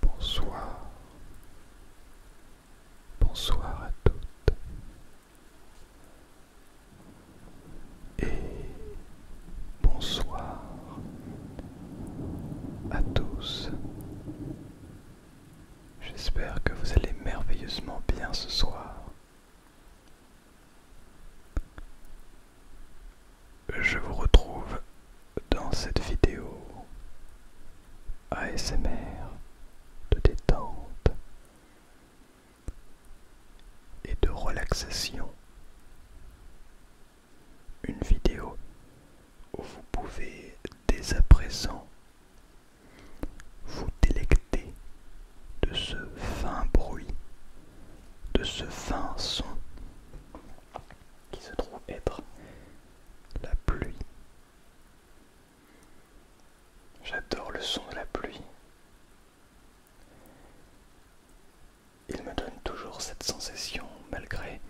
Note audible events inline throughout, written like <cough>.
Bonsoir, bonsoir à toutes et bonsoir à tous. J'espère que vous allez merveilleusement bien ce soir. Je vous retrouve dans cette vidéo ASMR de détente et de relaxation. Une vidéo où vous pouvez dès à présent vous délecter de ce fin bruit, de ce fin son qui se trouve être la pluie. J'adore le son de la pluie. Il me donne toujours cette sensation malgré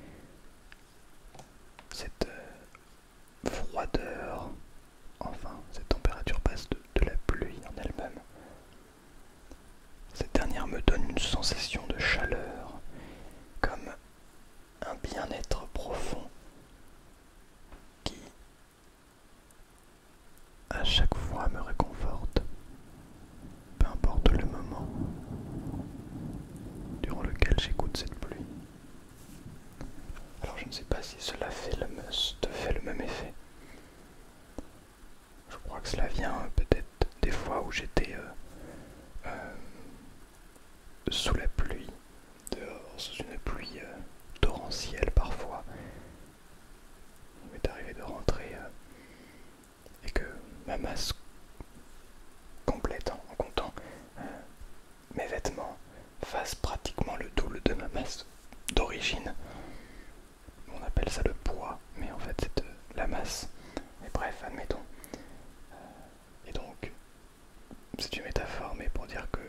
cette euh, froideur, enfin cette température basse de la pluie en elle-même. Cette dernière me donne une sensation de chaleur, comme un bien-être profond qui à chaque fois me réconforte, peu importe le moment durant lequel j'écoute cette pluie. Alors je ne sais pas si cela fait le, fait le même effet. Je crois que cela vient euh, peut-être des fois où j'étais euh, euh, sous la pluie, dehors, sous une pluie torrentielle parfois. Il m'est arrivé de rentrer et que ma masse complète, en comptant mes vêtements, fasse pratiquement le double de ma masse d'origine on appelle ça le poids, mais en fait c'est euh, la masse. Mais bref, admettons. Euh, et donc, c'est une métaphore, mais pour dire que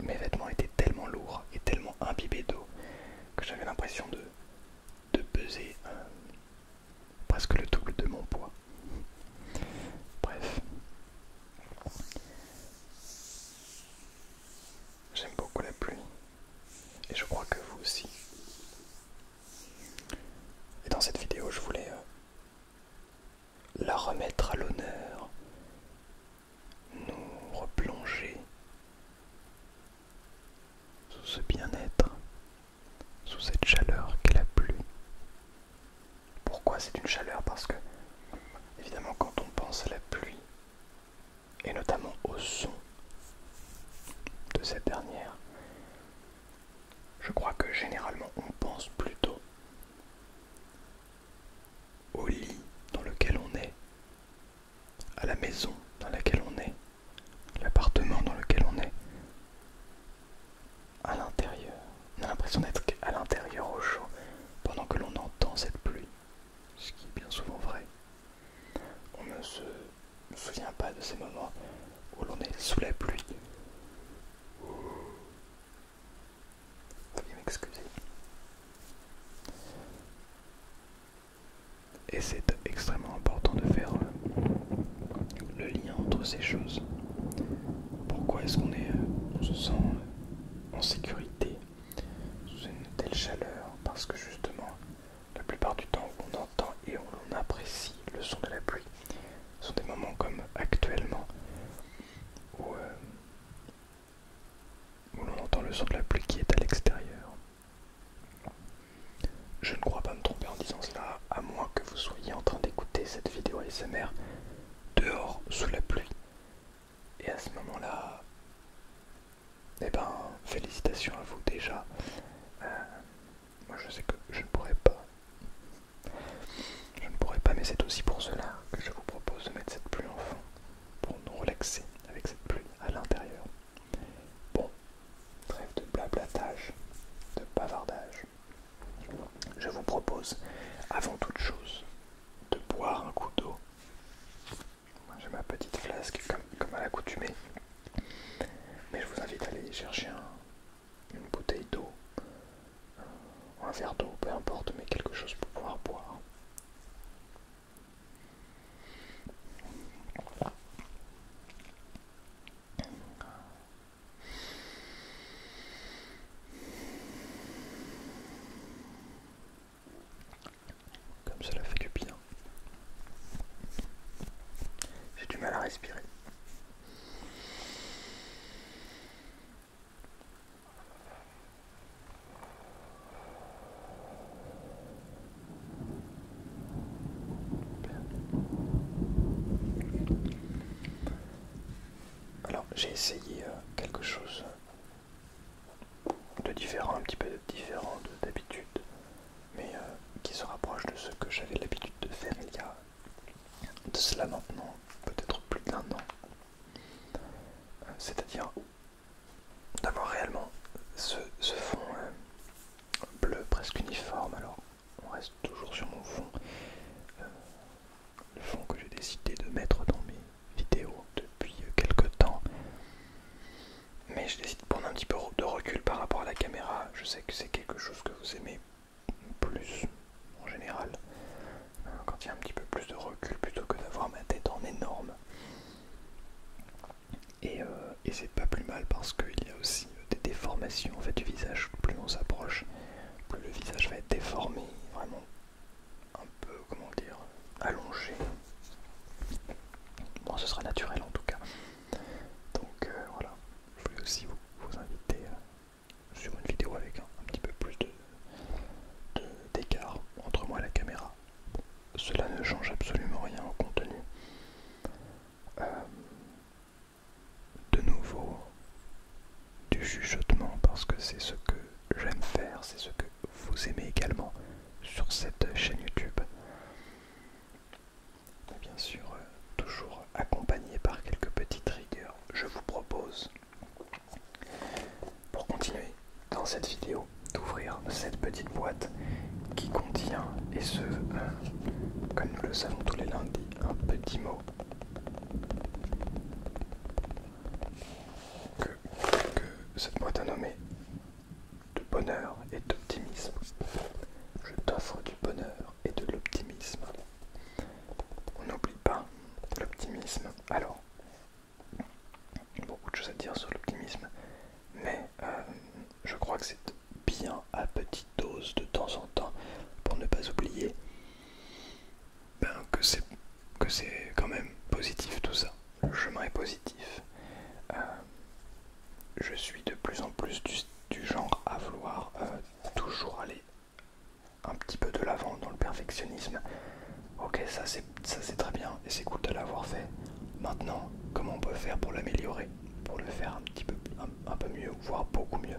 mes vêtements étaient tellement lourds et tellement imbibés d'eau que j'avais l'impression de, de peser euh, presque le double de mon poids. Bref. J'aime beaucoup la pluie. Et je crois que vous aussi. Et dans cette vidéo, je voulais euh, la remettre à l'honneur, nous replonger sous ce bien-être, sous cette chaleur qu'est la pluie. Pourquoi c'est une chaleur Parce que, évidemment, quand on pense à la pluie, et notamment au son de cette dernière, je crois que généralement on pense plutôt au lit dans lequel on est, à la maison dans laquelle on est, l'appartement dans lequel on est, à l'intérieur. On a l'impression d'être à l'intérieur au chaud pendant que l'on entend cette pluie, ce qui est bien souvent vrai. On ne se souvient pas de ces moments où l'on est sous la pluie. pouvez m'excuser. Et c'est extrêmement important de faire le lien entre ces choses. Pourquoi est-ce qu'on se sent en sécurité sous une telle chaleur parce que justement la plupart du temps on entend et on apprécie le son de la pluie. Ce sont des moments comme actuellement euh, où, l'on entend le son de la pluie qui est à l'extérieur. Je ne crois pas me tromper en disant cela, à moins que vous soyez en train d'écouter cette vidéo ASMR dehors sous la pluie. Et à ce moment-là, eh ben, félicitations à vous déjà. Euh, moi je sais que je ne pourrais pas. Je ne pourrais pas, mais c'est aussi pour cela que je vous propose de mettre cette pluie en fond, pour nous relaxer avec cette pluie à l'intérieur. Bon, trêve de blablatage, de bavardage. Je vous propose, avant toute chose, de boire un coup d'eau j'ai ma petite flasque comme, à l'accoutumée. Mais je vous invite à aller chercher une bouteille d'eau, un verre d'eau, peu importe, mais quelque chose pour pouvoir boire. Comme cela fait du bien. J'ai du mal à respirer. Alors j'ai essayé euh, quelque chose de différent, un petit peu différent d'habitude, mais euh, qui se rapproche de ce que j'avais l'habitude de faire il y a de cela maintenant, peut-être plus d'un an. C'est-à-dire d'avoir réellement ce, fond euh, bleu presque uniforme. Alors on reste toujours sur mon fond, euh, le fond que j'ai décidé de mettre dans mes vidéo depuis quelques temps. Mais je décide de prendre un petit peu de recul par rapport à la caméra. Je sais que c'est quelque chose que vous aimez plus en général. Euh, quand il y a un petit peu plus de recul plutôt que d'avoir ma tête en énorme. Et, euh, et c'est pas plus mal parce qu'il y a aussi des déformations en fait, du visage. Plus on s'approche, plus le visage va être déformé, vraiment un peu, comment dire, allongé Bon, ce sera naturel en tout cas. Donc euh, voilà, je voulais aussi vous, inviter euh, sur une vidéo avec un, petit peu plus d'écart de, entre moi et la caméra. Cela ne change absolument rien au contenu. Euh, de nouveau, du chuchotement parce que c'est ce que j'aime faire, c'est ce que vous aimez également sur cette chaîne YouTube. Bien sûr, euh, toujours accompagné par quelques petites rigueurs, je vous propose, pour continuer dans cette vidéo, d'ouvrir cette petite boîte qui contient, et ce, euh, comme nous le savons tous les lundis, un petit mot que cette boîte a nommé de bonheur et d'optimisme. Je t'offre du bonheur et de l'optimisme. On n'oublie pas l'optimisme. Alors, beaucoup de choses à dire sur l'optimisme, mais euh, je crois que c'est bien à petite dose de temps en temps pour ne pas oublier ben, que c'est quand même positif tout ça le chemin est positif. Euh, je suis de plus en plus du, genre à vouloir euh, toujours aller un petit peu de l'avant dans le perfectionnisme. Ok, ça c'est très bien et c'est cool de l'avoir fait. Maintenant, comment on peut faire pour l'améliorer Pour le faire un petit peu, mieux, voire beaucoup mieux.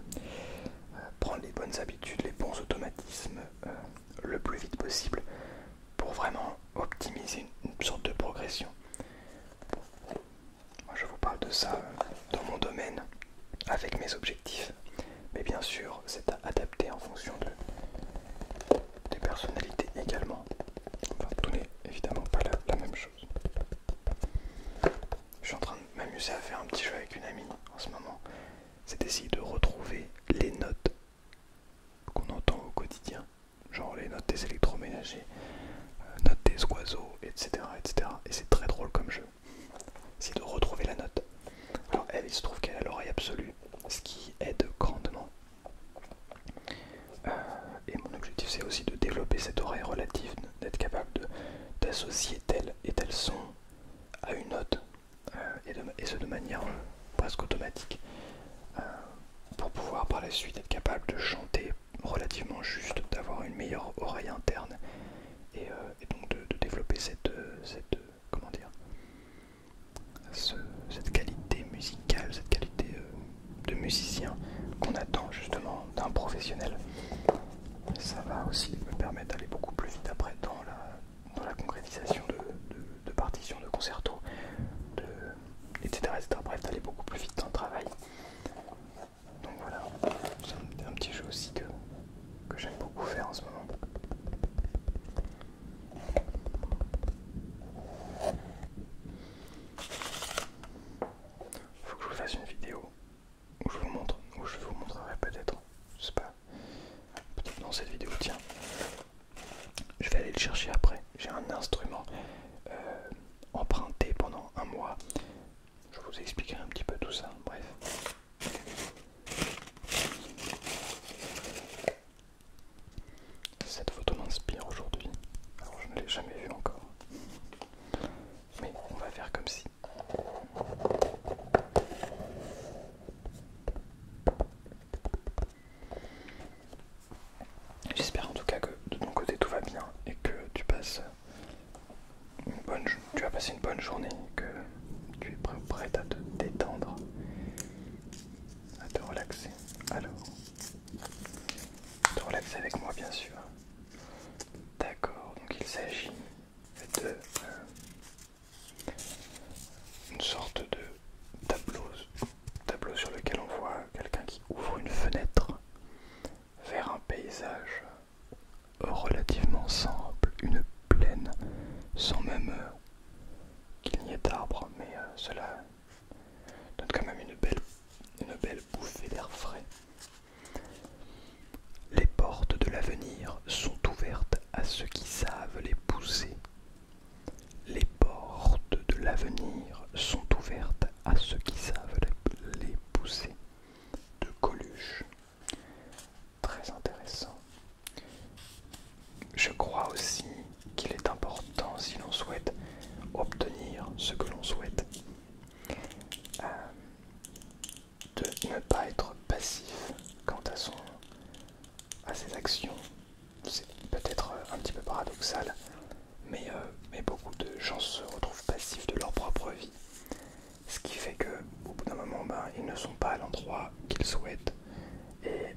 Euh, prendre les bonnes habitudes, les bons automatismes le plus vite possible pour vraiment optimiser une, sorte de progression. Moi, je vous parle de ça euh, dans mon domaine avec mes objectifs, mais bien sûr, c'est à adapter en fonction des personnalités également. Enfin, tout n'est évidemment pas la, la même chose. Je suis en train de m'amuser à faire un petit jeu avec une amie en ce moment. C'est d'essayer de retrouver les notes qu'on entend au quotidien genre les notes des électroménagers, euh, notes des oiseaux, etc. Et c'est très drôle comme jeu. C'est de retrouver la note. Alors elle, il se trouve qu'elle a l'oreille absolue, ce qui aide grandement. Euh, et mon objectif c'est aussi de développer cette oreille relative, d'être capable d'associer tel et tel son à une note, euh, et, ce de manière presque automatique pour pouvoir par la suite être capable de chanter relativement juste, d'avoir une meilleure oreille interne et, euh, donc de, développer cette, cette qualité musicale, cette qualité euh, de musicien qu'on attend justement d'un professionnel. Ça va aussi me permettre d'aller beaucoup plus vite après dans la, concrétisation de, partitions de concertos, etc., etc. Bref, d'aller beaucoup plus vite dans le travail. Donc voilà, c'est un, petit jeu aussi que, j'aime beaucoup faire en ce moment. Faut que je vous fasse une vidéo où je vous montre, où je vous montrerai peut-être, je sais pas, peut-être dans cette vidéo, tiens, je vais aller le chercher après. J'ai un instrument euh, emprunté pendant un mois. Je vous expliquerai un petit peu tout ça. Bref. Cette photo m'inspire aujourd'hui. Alors je ne l'ai jamais vue encore. Mais on va faire comme si. J'espère en tout cas que de ton côté tout va bien et que tu passes une bonne tu vas passer une bonne journée, que tu es prêt, prête à te détendre, à te relaxer. Alors, te relaxer avec moi bien sûr. D'accord, donc il s'agit de euh, une sorte de tableau tableau sur lequel on voit quelqu'un qui ouvre une fenêtre vers un paysage relativement simple, une plaine, sans même euh, qu'il n'y ait d'arbres, mais euh, cela donne quand même une belle bouffée d'air frais. Les portes de l'avenir sont ouvertes à ceux qui savent les pousser les portes de l'avenir sont ouvertes à ceux qui savent les pousser. De Coluche. Très intéressant. Je crois aussi qu'il est important, si l'on souhaite obtenir ce que l'on souhaite, euh, de ne pas être passif quant à ses actions c'est peut-être euh, un petit peu paradoxal, mais, euh, mais beaucoup de gens se retrouvent passifs de leur propre vie. Ce qui fait que au bout d'un moment, ben, ils ne sont pas à l'endroit qu'ils souhaitent. Euh,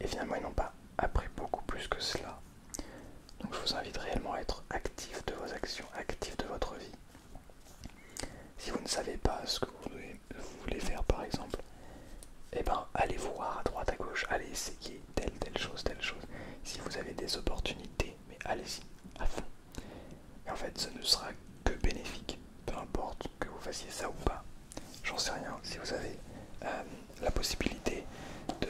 et, finalement, ils n'ont pas appris beaucoup plus que cela. Donc je vous invite réellement à être actif de vos actions, actif de votre vie. Si vous ne savez pas ce que vous voulez faire par exemple, et eh ben, allez voir à droite, à gauche, allez essayer telle, telle chose, telle chose. Si vous avez des opportunités, mais allez-y à fond. Et en fait, ce ne sera que bénéfique, peu importe que vous fassiez ça ou pas. J'en sais rien. Si vous avez euh, la possibilité de,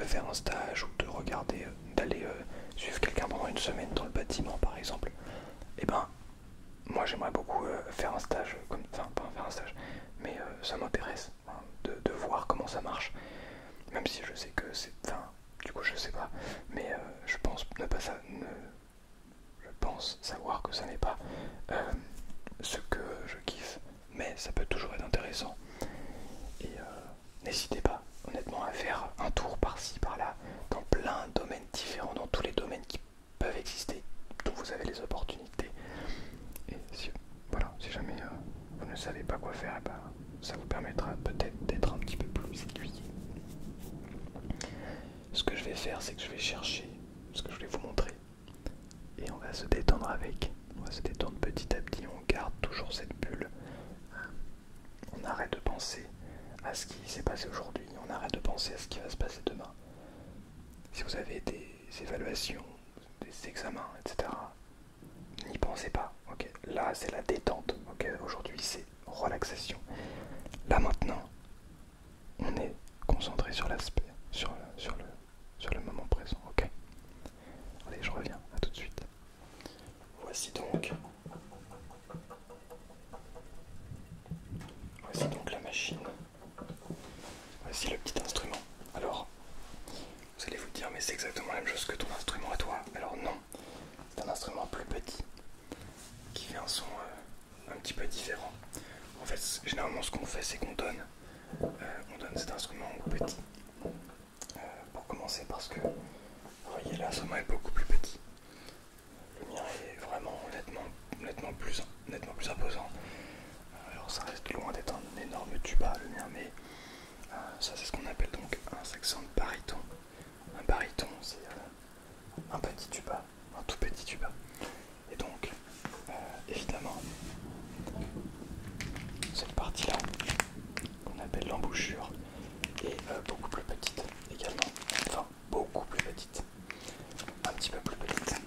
faire un stage ou de regarder, d'aller euh, suivre quelqu'un pendant une semaine dans le bâtiment, par exemple, eh ben, moi j'aimerais beaucoup euh, faire un stage, comme, enfin pas faire un stage, mais euh, ça m'intéresse hein, de, voir comment ça marche, même si je sais que c'est, enfin du coup je sais pas, mais euh, je pense ne pas ça, pense savoir que ça n'est pas ce que je kiffe, mais ça peut toujours être intéressant. Et n'hésitez pas, honnêtement, à faire un tour par-ci, par-là, dans plein de domaines différents, dans tous les domaines qui peuvent exister, d'où vous avez les opportunités. Et si, voilà, si jamais euh, vous ne savez pas quoi faire, eh ben, ça vous permettra peut-être d'être un petit peu plus aiguillé. Ce que je vais faire, c'est que je vais chercher ce que je voulais vous montrer. Et on va se détendre avec. On va se détendre petit à petit. On garde toujours cette bulle. On arrête de penser à ce qui s'est passé aujourd'hui. On arrête de penser à ce qui va se passer demain si vous avez des évaluations, des examens, etc., n'y pensez pas. Là, c'est la détente. Aujourd'hui, c'est relaxation. Là, maintenant, on est concentré sur l'aspect, sur le, moment présent. ok Allez, je reviens. À tout de suite. Voici donc la machine. Voici le petit instrument. Alors, vous allez vous dire, mais c'est exactement la même chose que ton instrument à toi. Alors non, c'est un instrument plus petit qui fait un son euh, un petit peu différent. En fait, généralement, ce qu'on fait, c'est qu'on donne, euh, cet instrument au petit. Euh, pour commencer, parce que, vous voyez, l'instrument est beaucoup plus petit. Le mien est vraiment honnêtement nettement plus, nettement plus imposant. Alors ça reste loin d'être un énorme tuba le mien, mais euh, ça c'est ce qu'on appelle donc un saxophone baryton. Un baryton c'est euh, un petit tuba, un tout petit tuba. Et donc euh, évidemment cette partie là qu'on appelle l'embouchure est beaucoup plus petite également, enfin beaucoup plus petite. Un petit peu plus petite.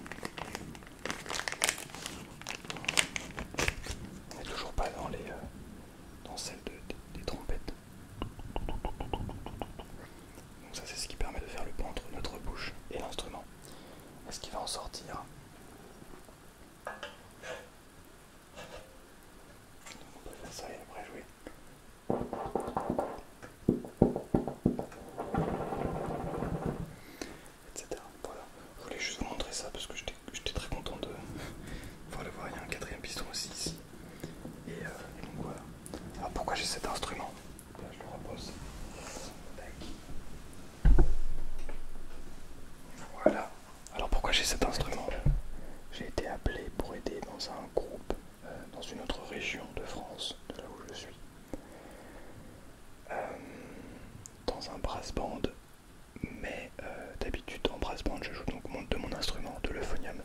On n'est toujours pas dans les euh, dans celle des trompettes. Donc ça c'est ce qui permet de faire le pont entre notre bouche et l'instrument. Est-ce qu'il va en sortir On peut faire ça et après jouer etc. Voilà, je voulais juste vous montrer ça parce que j'étais très content de <laughs> voir le voir. Il y a un quatrième piston aussi ici. Et, euh, donc voilà. Alors pourquoi j'ai cet instrument Là, Je le repose. Voilà. Alors pourquoi j'ai cet instrument J'ai été appelé pour aider dans un groupe, euh, dans une autre région de France, de là où je suis. Euh, dans un brass band, mais euh, d'habitude en brass band je joue donc de mon instrument, de l'euphonium.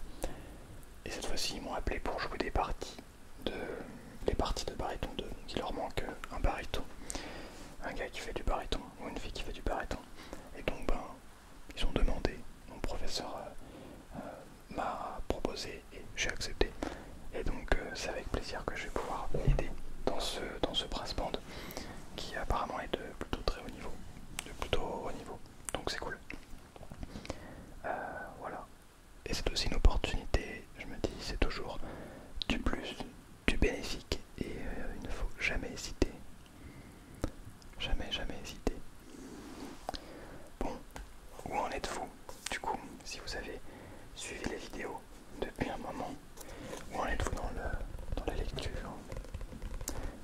Et cette fois-ci ils m'ont appelé pour jouer des parties de les parties de baryton 2. qui il leur manque un baryton, un gars qui fait du baryton ou une fille qui fait du baryton. Et donc ben ils ont demandé, mon professeur euh, m'a proposé et j'ai accepté. Et donc euh, c'est avec plaisir que je vais pouvoir l'aider dans ce, dans ce brass band qui apparemment est de plutôt très haut niveau. De plutôt haut niveau. Donc c'est cool. Euh, voilà. Et c'est aussi une opportunité, je me dis, c'est toujours du plus, du bénéfique. Et euh, il ne faut jamais hésiter. Jamais, jamais hésiter. Bon, où en êtes-vous du coup, si vous avez suivi les vidéos depuis un moment, où en êtes-vous dans, dans la lecture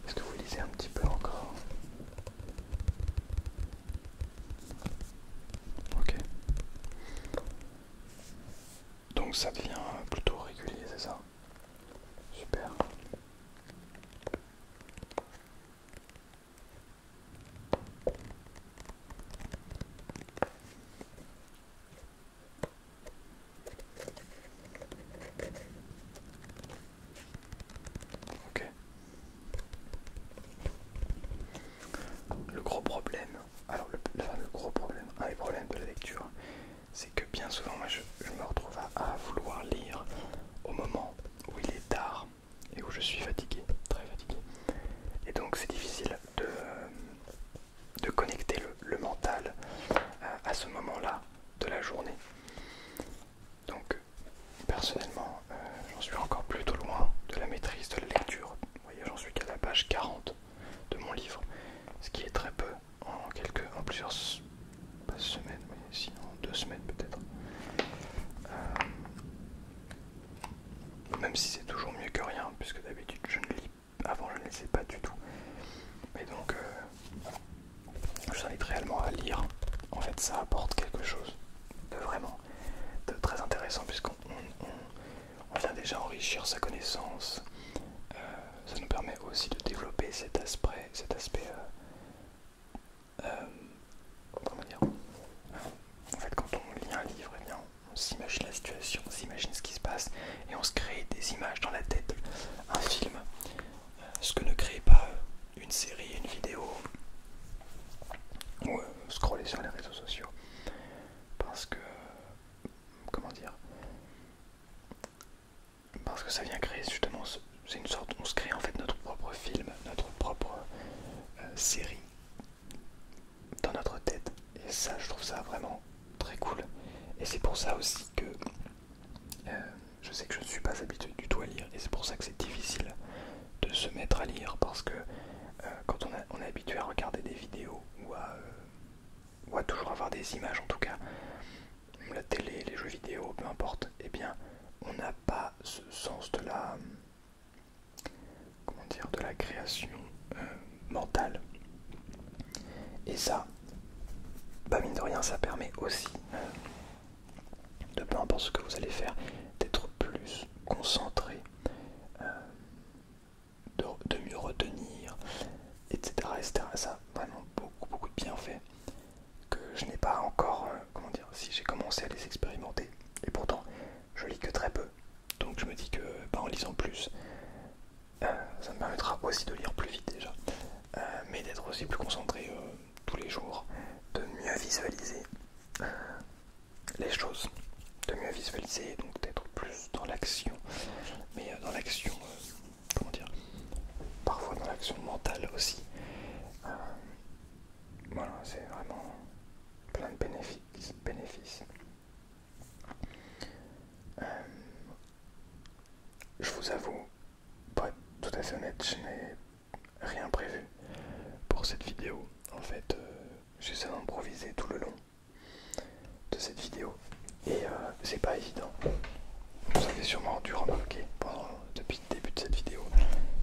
Est-ce que vous lisez un petit peu encore Ok. Donc ça devient plutôt régulier, c'est ça Super. Le gros problème, alors le, gros problème, un des problèmes de la lecture, c'est que bien souvent moi je, me retrouve à vouloir lire au moment où il est tard et où je suis fatigué, très fatigué. Et donc c'est difficile de, euh, connecter le, mental euh, à, ce moment-là de la journée. Donc personnellement, euh, j'en suis encore plutôt loin de la maîtrise de la lecture. Vous voyez, j'en suis qu'à la page 40 de mon livre, ce qui est très peu en, quelques, en plusieurs semaines, mais si, en deux semaines peut-être. Même si c'est toujours mieux que rien, puisque d'habitude je ne lis avant je ne sais pas du tout. mais donc euh, je vous invite réellement à lire. En fait ça apporte quelque chose de vraiment de très intéressant puisqu'on vient déjà enrichir sa connaissance. Euh, ça nous permet aussi de développer cet aspect, cet aspect euh, comment dire en fait quand on lit un livre eh bien, on s'imagine la situation, on s'imagine ce qui se passe et on se crée des images dans la tête, un film, euh, ce que ne crée pas euh, une série, une vidéo ou euh, scroller sur les réseaux sociaux parce que comment dire parce que ça vient créer justement c'est une sorte on se crée en fait notre propre film notre propre série dans notre tête. Et ça, je trouve ça vraiment très cool. Et c'est pour ça aussi que euh, je sais que je ne suis pas habitué du tout à lire. Et c'est pour ça que c'est difficile de se mettre à lire. Parce que euh, quand on, est habitué à regarder des vidéos euh, ou à, toujours avoir des images, en tout cas, la télé, les jeux vidéo, peu importe, et eh bien, on n'a pas ce sens de la comment dire, de la création euh, mentale. Et ça, pas bah, mine de rien, ça permet aussi, euh, de peu importe ce que vous allez faire, d'être plus concentré, euh, de, mieux retenir, etc., etc. Ça vraiment beaucoup, beaucoup de bienfaits que je n'ai pas encore, comment dire, si j'ai commencé à les expérimenter. Et pourtant, je lis que très peu. Donc je me dis que bah, en lisant plus, euh, ça me permettra aussi de lire plus vite déjà, euh, mais d'être aussi plus concentré euh, tous les jours, de mieux visualiser les choses, de mieux visualiser, donc d'être plus dans l'action, mais dans l'action, comment dire, parfois dans l'action mentale aussi. voilà, c'est vraiment plein de bénéfices bénéfice. Euh, je vous avoue, pour tout à fait honnête, je n'ai rien prévu pour cette vidéo. En fait, j'ai euh, j'essaie d'improviser tout le long de cette vidéo et euh, c'est pas évident. Vous avez sûrement dû remarquer depuis le début de cette vidéo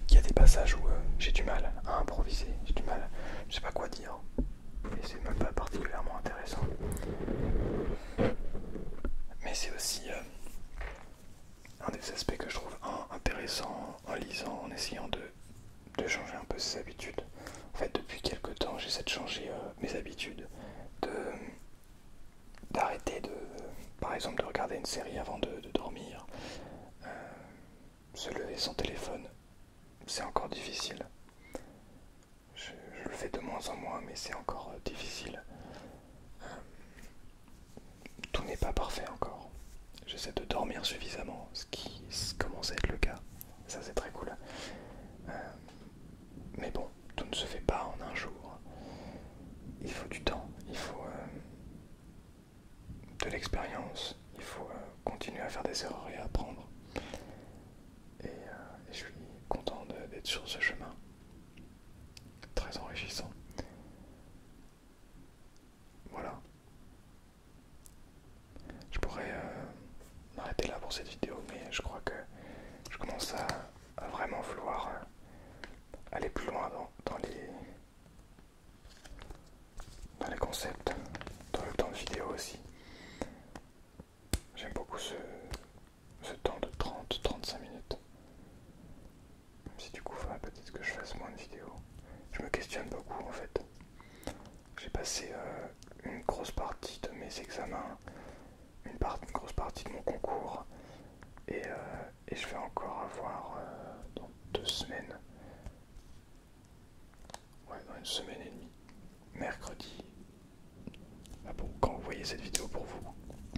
qu'il y a des passages où j'ai du mal à improviser, j'ai du mal, je sais pas quoi et c'est même pas particulièrement intéressant. Mais c'est aussi euh, un des aspects que je trouve intéressant en lisant, en essayant de, changer un peu ses habitudes. En fait, depuis quelques temps, j'essaie de changer euh, mes habitudes, d'arrêter de, par exemple, de regarder une série avant de, dormir, euh, se lever sans téléphone c'est encore difficile. Je, le fais de moins en moins, mais c'est encore euh, difficile. Euh, tout n'est pas parfait encore. J'essaie de dormir suffisamment, ce qui commence à être le cas. Ça, c'est très cool. Euh, mais bon, tout ne se fait pas en un jour. Il faut du temps, il faut, de l'expérience, il faut euh, continuer à faire des erreurs et à apprendre. Euh, et, je suis content d'être sur ce chemin, très enrichissant. Voilà. Je pourrais euh, m'arrêter là pour cette vidéo, mais je crois que je commence à, vraiment vouloir aller plus loin dans les dans les concepts, dans le temps de vidéo aussi. J'aime beaucoup ce, ce temps de 30-35 minutes. Même si du coup, il peut-être que je fasse moins de vidéos. Je me questionne beaucoup en fait. J'ai passé euh, une grosse partie de mes examens, une, grosse partie de mon concours, et, euh, je vais encore avoir euh, dans deux semaines Ouais, dans une semaine et demie. Mercredi. Ah quand vous voyez cette vidéo pour vous,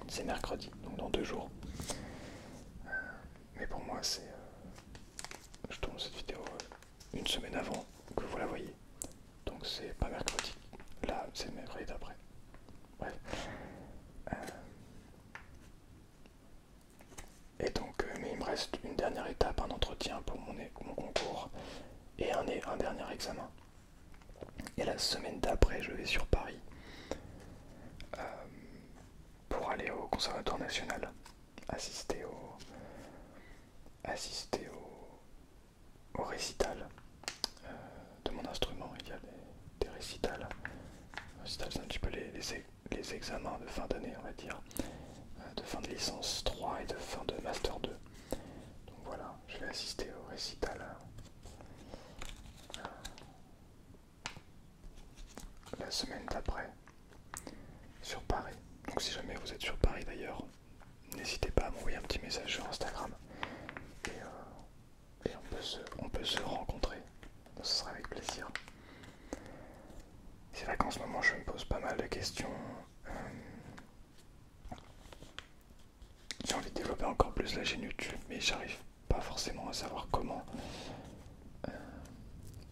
c'est mercredi, donc dans deux jours. Euh, mais pour moi, c'est. Euh, je tourne cette vidéo euh, une semaine avant que vous la voyez. Donc c'est pas mercredi. Là, c'est mercredi d'après. Bref. Et donc, euh, mais il me reste une dernière étape, un entretien pour mon, concours et un, dernier examen. Et la semaine d'après, je vais sur Paris euh, pour aller au Conservatoire National, assister au, récital euh, de mon instrument. Il y a des, récitals. c'est un petit peu les, laisser les examens de fin d'année, on va dire, euh, de fin de licence 3 et de fin de master 2. Donc voilà, je vais assister au récital euh, la semaine d'après sur Paris. Donc si jamais vous êtes sur Paris d'ailleurs, n'hésitez pas à m'envoyer un petit message sur Instagram et, euh, on, peut se, rencontrer. ce sera avec plaisir. C'est vrai qu'en ce moment, je me pose pas mal de questions. Euh, j'ai envie de développer encore plus la chaîne YouTube, mais j'arrive pas forcément à savoir comment, euh,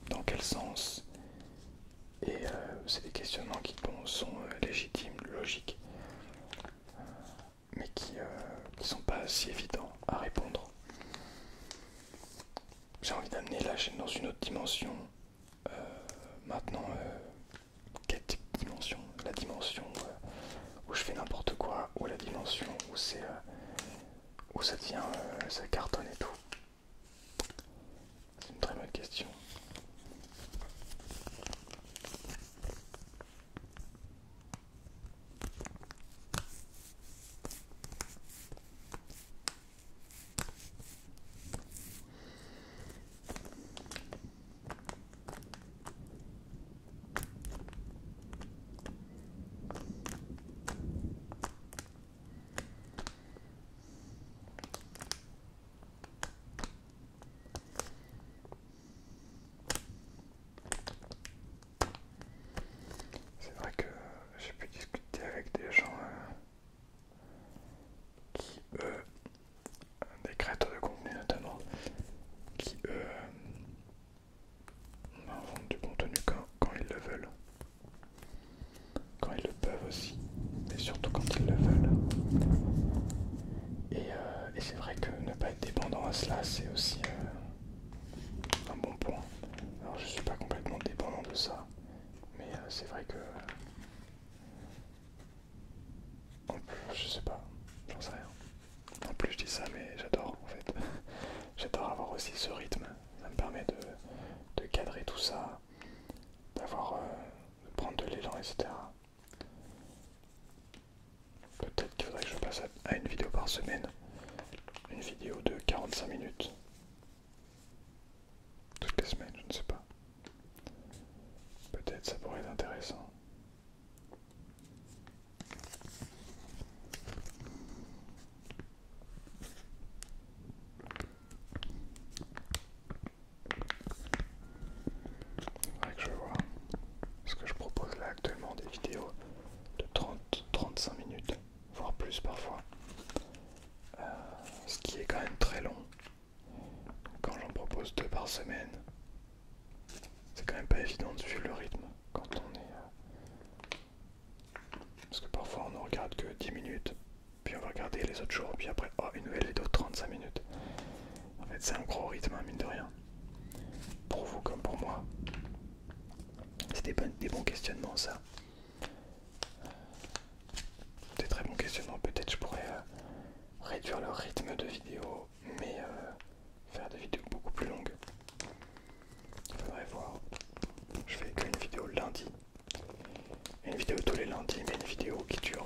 dans quel sens. Et euh, c'est des questionnements qui sont légitimes, logiques, mais qui ne sont pas si évidents à répondre j'ai envie d'amener la chaîne dans une autre dimension. Euh, maintenant, euh, quelle dimension La dimension euh, où je fais n'importe quoi, ou la dimension où c'est où ça tient, ça cartonne et tout. C'est une très bonne question. C'est vrai que j'ai pu discuter avec des gens euh, qui eux, des créateurs de contenu notamment, qui eux inventent du contenu quand, ils le veulent, quand ils le peuvent aussi, et surtout quand ils le veulent. Euh, et, c'est vrai que ne pas être dépendant à cela, c'est aussi euh, un bon point. Alors je suis pas complètement dépendant de ça. Mais euh, c'est vrai que. En plus, je sais pas, j'en sais rien. En plus, je dis ça, mais j'adore en fait. <laughs> j'adore avoir aussi ce rythme. Ça me permet de, de cadrer tout ça, d'avoir. Euh, de prendre de l'élan, etc. Peut-être qu'il faudrait que je passe à une vidéo par semaine. Une vidéo de 45 minutes. Toutes les semaines, je ne sais pas. Peut-être ça pourrait être intéressant. Faudrait que je vois. ce que je propose là actuellement des vidéos de 30-35 minutes voire plus parfois, euh, ce qui est quand même très long. Quand j'en propose deux par semaine, c'est quand même pas évident vu suivre le rythme quand on est. Euh, parce que parfois on ne regarde que 10 minutes, puis on va regarder les autres jours, puis après, oh, une nouvelle et d'autres 35 minutes. En fait, c'est un gros rythme, à hein, mine de rien. Pour vous comme pour moi. C'est des bons questionnements, ça. Des très bons questionnements. Peut-être je pourrais euh, réduire le rythme de vidéo, mais euh, faire des vidéos beaucoup plus longues. Faudrait voir. Je fais qu'une vidéo lundi. Une vidéo tous les lundis, mais une vidéo qui dure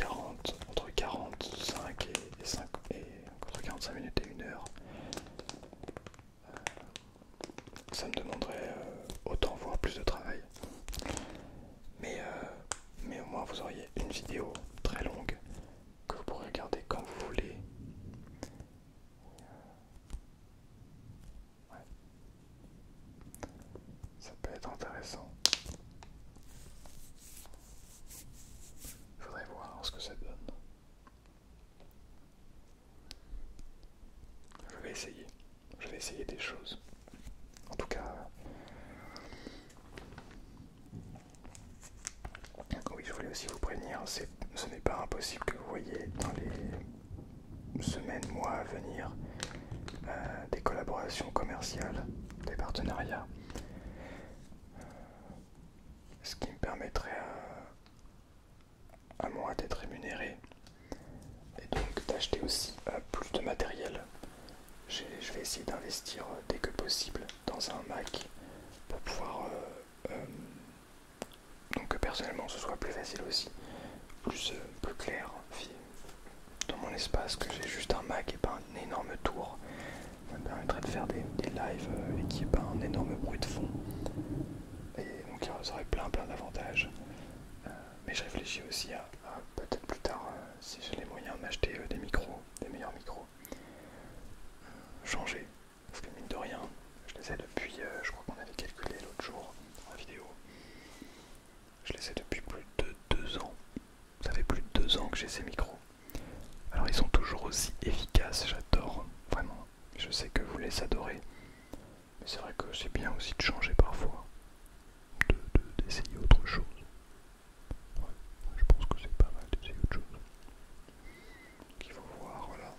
euh, entre 45 et entre 45 minutes et 1 heure. Euh, ça me demanderait euh, autant voire plus de travail. Mais, euh, mais au moins vous auriez une vidéo très longue que vous pourrez regarder quand vous voulez. Ça peut être intéressant. Faudrait voir ce que ça donne. Je vais essayer. Je vais essayer des choses. En tout cas... Oui, je voulais aussi vous prévenir, ce n'est pas impossible que vous voyez dans les semaines, mois à venir euh, des collaborations commerciales, des partenariats. Ce qui me permettrait euh, à moins d'être rémunéré et donc d'acheter aussi euh, plus de matériel. Je vais essayer d'investir euh, dès que possible dans un Mac pour pouvoir euh, donc que personnellement ce soit plus facile aussi, plus, clair dans mon espace que j'ai juste un Mac et pas un énorme tour. Ça me permettrait de faire des, des lives et qu'il n'y ait pas un énorme bruit de fond. Et donc ça aurait plein plein d'avantages mais je réfléchis aussi à, peut-être plus tard, euh, si j'ai les moyens, m'acheter euh, des micros, des meilleurs micros. Euh, changer, parce que mine de rien, je les ai depuis, je crois qu'on avait calculé l'autre jour dans la vidéo, je les ai depuis plus de deux ans. Ça fait plus de deux ans que j'ai ces micros. Alors ils sont toujours aussi efficaces, j'adore, vraiment. Je sais que vous les adorez. Mais c'est vrai que c'est bien aussi de changer parfois, d'essayer de, autre chose. Ouais, je pense que c'est pas mal d'essayer autre chose. Qu'il faut voir, voilà.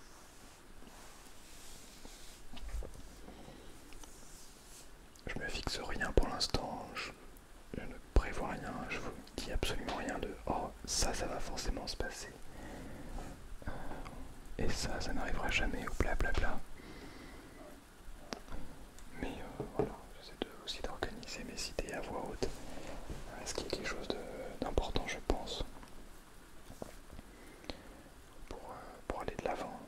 Je me fixe rien pour l'instant, je, ne prévois rien, je vous dis absolument rien de oh ça ça va forcément se passer. Euh, et ça, ça n'arrivera jamais, ou blablabla. Mais euh, voilà, j'essaie aussi d'organiser mes idées à voix haute. Est-ce euh, qui est quelque chose d'important, je pense, euh, pour, aller de l'avant,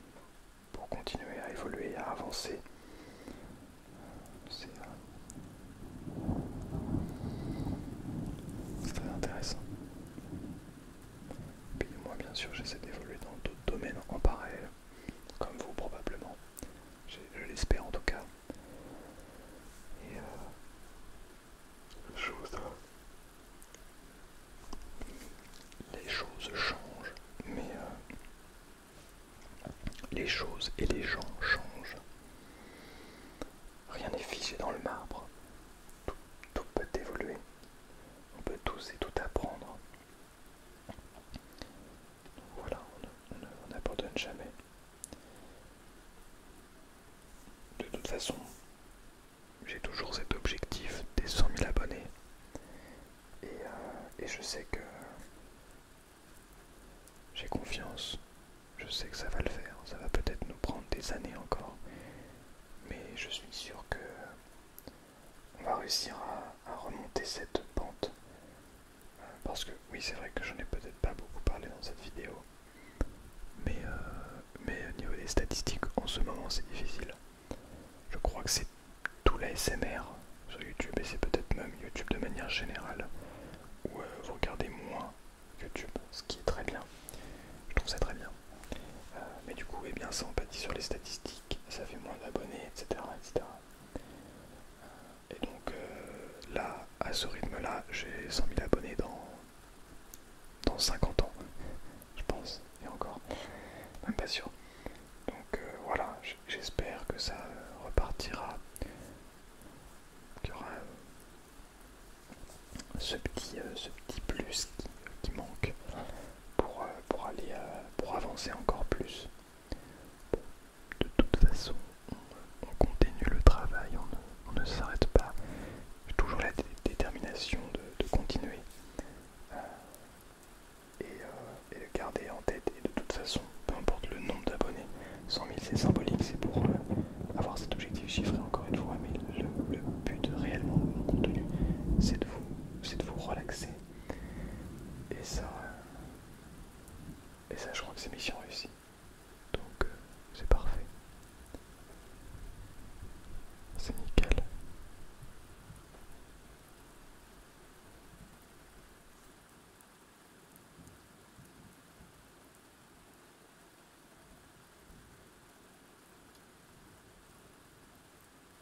pour continuer à évoluer, à avancer C'est très intéressant. Puis moi bien sûr j'essaie d'évoluer dans d'autres domaines en parallèle, comme vous probablement. Je l'espère en tout cas. Et euh, les choses changent, mais euh, les choses et les gens changent. Rien n'est figé dans le marbre tout, peut évoluer. On peut tous et tout apprendre. voilà, on n'abandonne jamais. De toute façon, j'ai toujours cet objectif des 100 000 abonnés. Euh, et je sais que j'ai confiance. Je sais que ça va le faire. Ça va peut-être nous prendre des années encore. Mais je suis sûr que on va réussir à, remonter cette pente. parce que oui c'est vrai que je ai peut-être pas beaucoup parlé dans cette vidéo. Mais, euh, mais au niveau des statistiques, en ce moment c'est difficile. Je crois que c'est tout la SMR sur YouTube et c'est peut-être même YouTube de manière générale où euh, vous regardez moins YouTube, ce qui est très bien. Je trouve ça très bien. Euh, mais du coup, eh bien, ça empathie sur les statistiques, ça fait moins d'abonnés, etc. etc. Euh, et donc euh, là, à ce rythme-là, j'ai 100 000 abonnés dans, dans 50 ans, je pense, et encore, même pas sûr. Donc voilà, j'espère que ça repartira, qu'il y aura ce, petit, ce petit plus qui manque. Euh, pour, aller euh, pour avancer encore plus. de toute façon, on, continue le travail, on ne, s'arrête pas. J'ai toujours la détermination de, continuer euh, et, de garder en tête. Et de toute façon, peu importe le nombre d'abonnés, 100 000 c'est symbolique, c'est pour avoir cet objectif chiffré encore une fois. Mais le but réellement de mon contenu, c'est de vous c'est de vous relaxer. Et ça, euh, et ça je crois que c'est mission réussie. Donc euh, c'est parfait. C'est nickel.